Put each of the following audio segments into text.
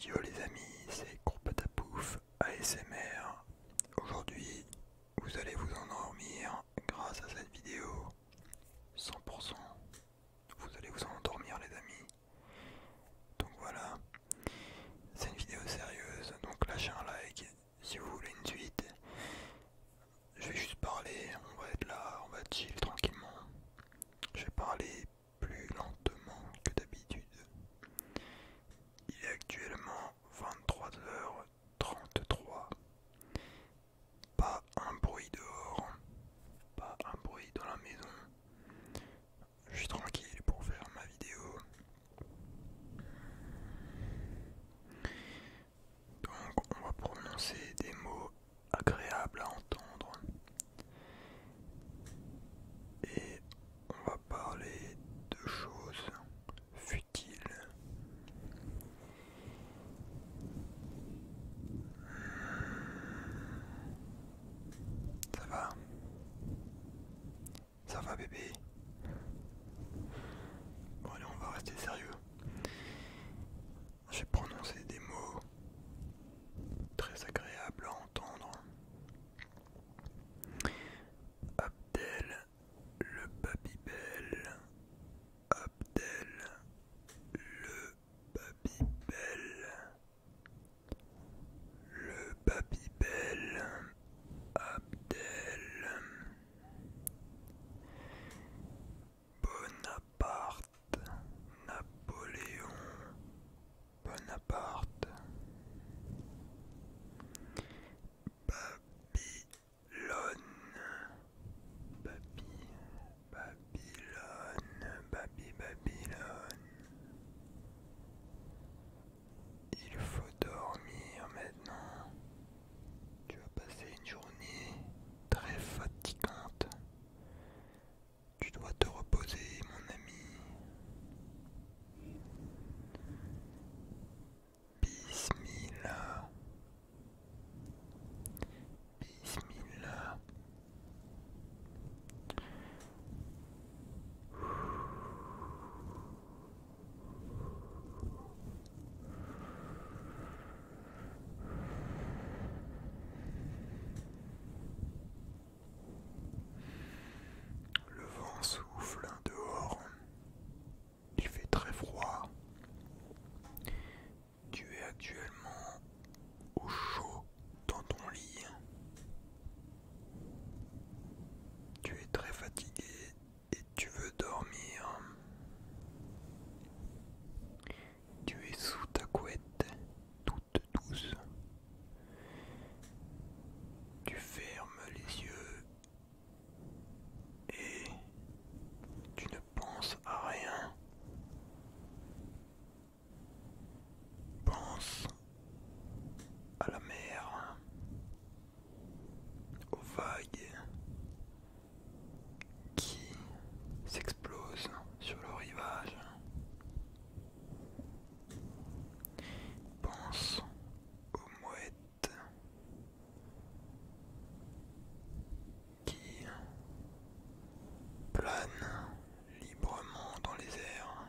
Yo les amis, c'est pouf ASMR. Aujourd'hui, vous allez vous endormir grâce à cette vidéo. 100%. Vous allez vous endormir les amis. Donc voilà. C'est une vidéo sérieuse, donc lâchez un like si vous voulez une suite. Je vais juste parler, on va être là, on va chill tranquillement. Je vais parler plus lentement que d'habitude. Il est actuellement 23h33. Pas un bruit dehors, pas un bruit dans la maison. Je suis tranquille pour faire ma vidéo. Donc on va prononcer des mots agréables à entendre et on va parler de choses futiles. Ça va Ça va bébé Bon allez on va rester sérieux. J'ai prononcé des mots très agréables Abdel le Belle, Abdel le Babybel. Le Babybel. Abdel. Bonaparte. Napoléon. Bonaparte Babylone Baby Babylone Baby Babylone Il faut dormir maintenant tu as passer une journée très fatigante tu dois te reposer, mon ami. Bismillah. Bismillah. Bismillah. Le vent souffle dehors. Il fait très froid. Tu es actuellement au chaud dans ton lit. Tu es très fatigué et tu veux dormir. Tu es sous ta couette, de douce. Tu fermes les yeux et tu ne penses à rien. Pense à la mer, aux vagues qui s'explosent sur le rivage. Pense aux mouettes qui planent librement dans les airs.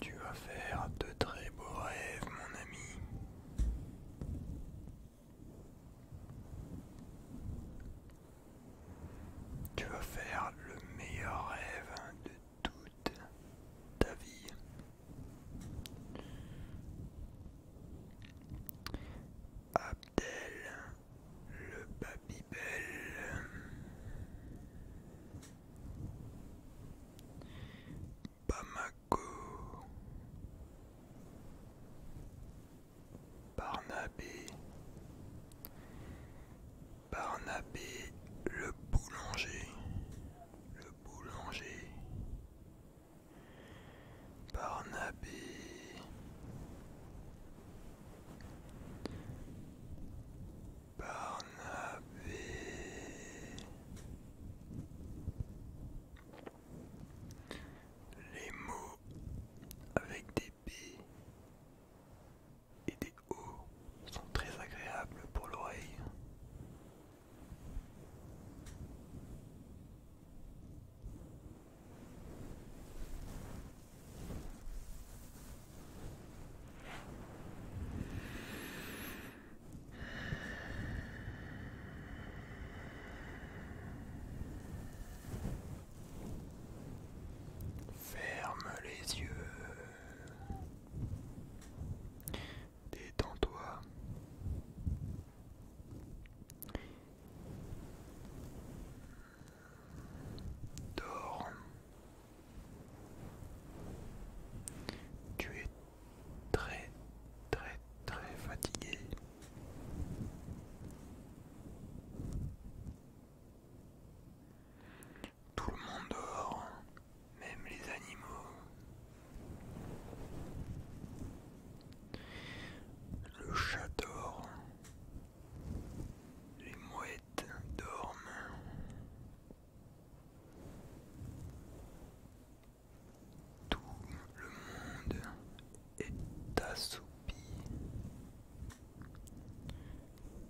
Tu vas faire de très beaux rêves, mon ami. Tu vas faire le meilleur rêve de toute ta vie. Abdel le Babybel. Bamako, Barnabé, Barnabé le boulanger, le boulanger, Barnabé. Barnabé. Les mots avec des B et des O sont très agréables pour l'oreille. Ferme les yeux. Détends-toi. Dors. Tu es très très très fatigué. Tout le monde dort, même les animaux. Le chat dort. Les mouettes dorment. Tout le monde est assoupi.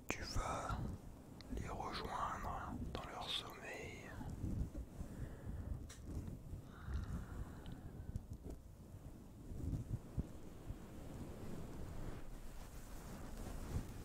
Tu vas les rejoindre dans leur sommeil.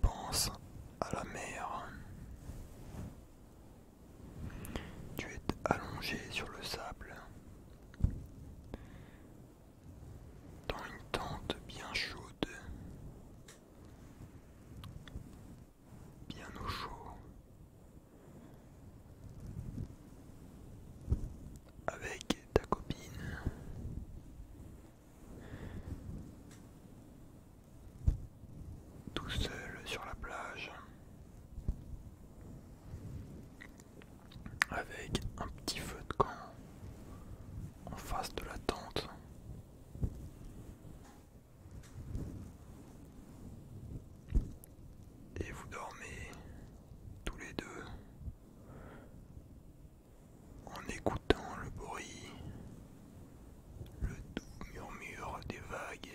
Pense à la mer. Tu es allongé sur le sable dans une tente bien chaude bien au chaud, avec ta copine. Tout seul sur la plage, avec un petit feu de camp en face de la tente, et vous dormez tous les deux en écoutant le bruit, le doux murmure des vagues.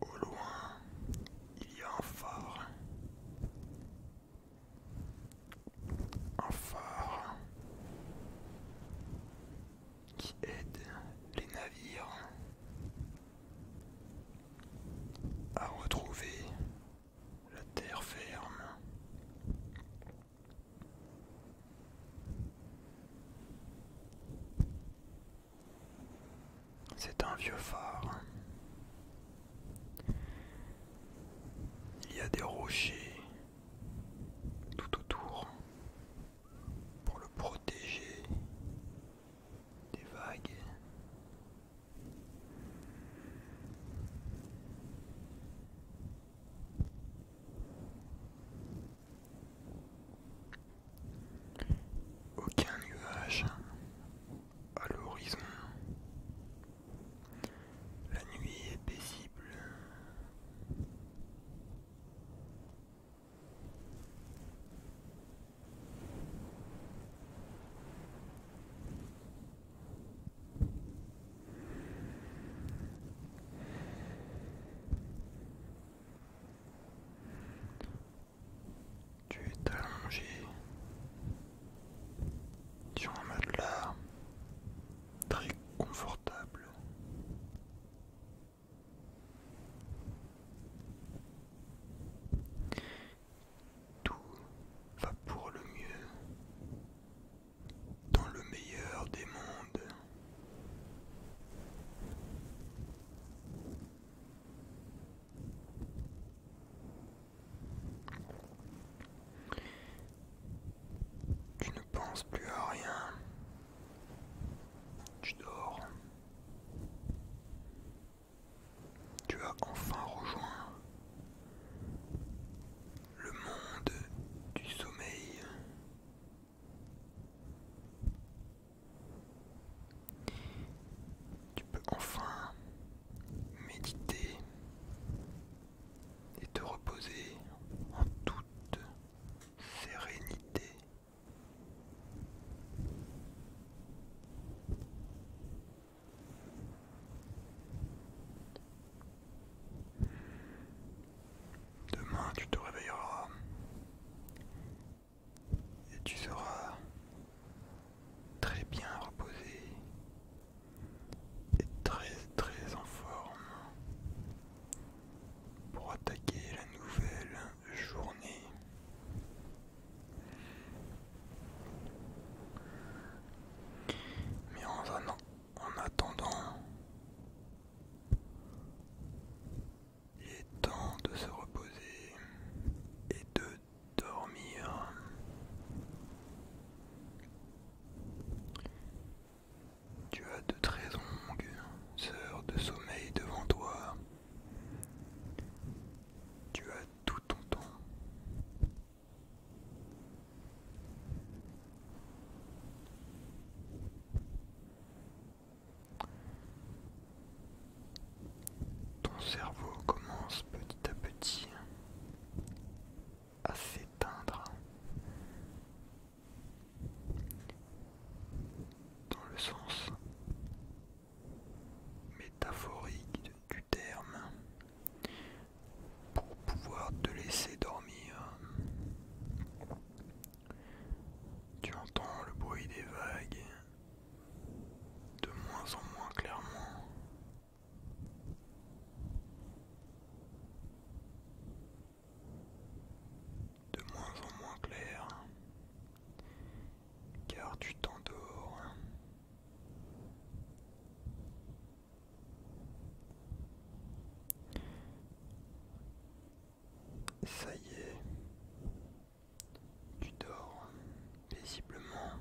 Au loin, il y a un phare. Un phare qui aide les navires à retrouver la terre ferme. C'est un vieux phare. Il y a des rochers tout autour pour le protéger des vagues. Aucun nuage à l'horizon. La nuit est paisible. Tu es allongé sur un matelas très confortable. Tout va pour le mieux dans le meilleur des mondes. Tu ne penses plus à rien. Tu dors. Tu as enfin rejoint le monde du sommeil. Tu peux enfin méditer et te reposer en toute sérénité. Demain, tu te réveilleras et tu seras très bien reposé et très très en forme pour attaquer la nouvelle journée. Mais en, en attendant, il est temps de se reposer et de dormir. Tu as de très longues heures de sommeil devant toi. Tu as tout ton temps. Ton cerveau commence petit à petit à s'éteindre dans le sens métaphorique du terme pour pouvoir te laisser dormir tu entends le bruit des vagues de moins en moins clairement. De moins en moins clair, car tu t'endors. Ça y est, tu dors paisiblement.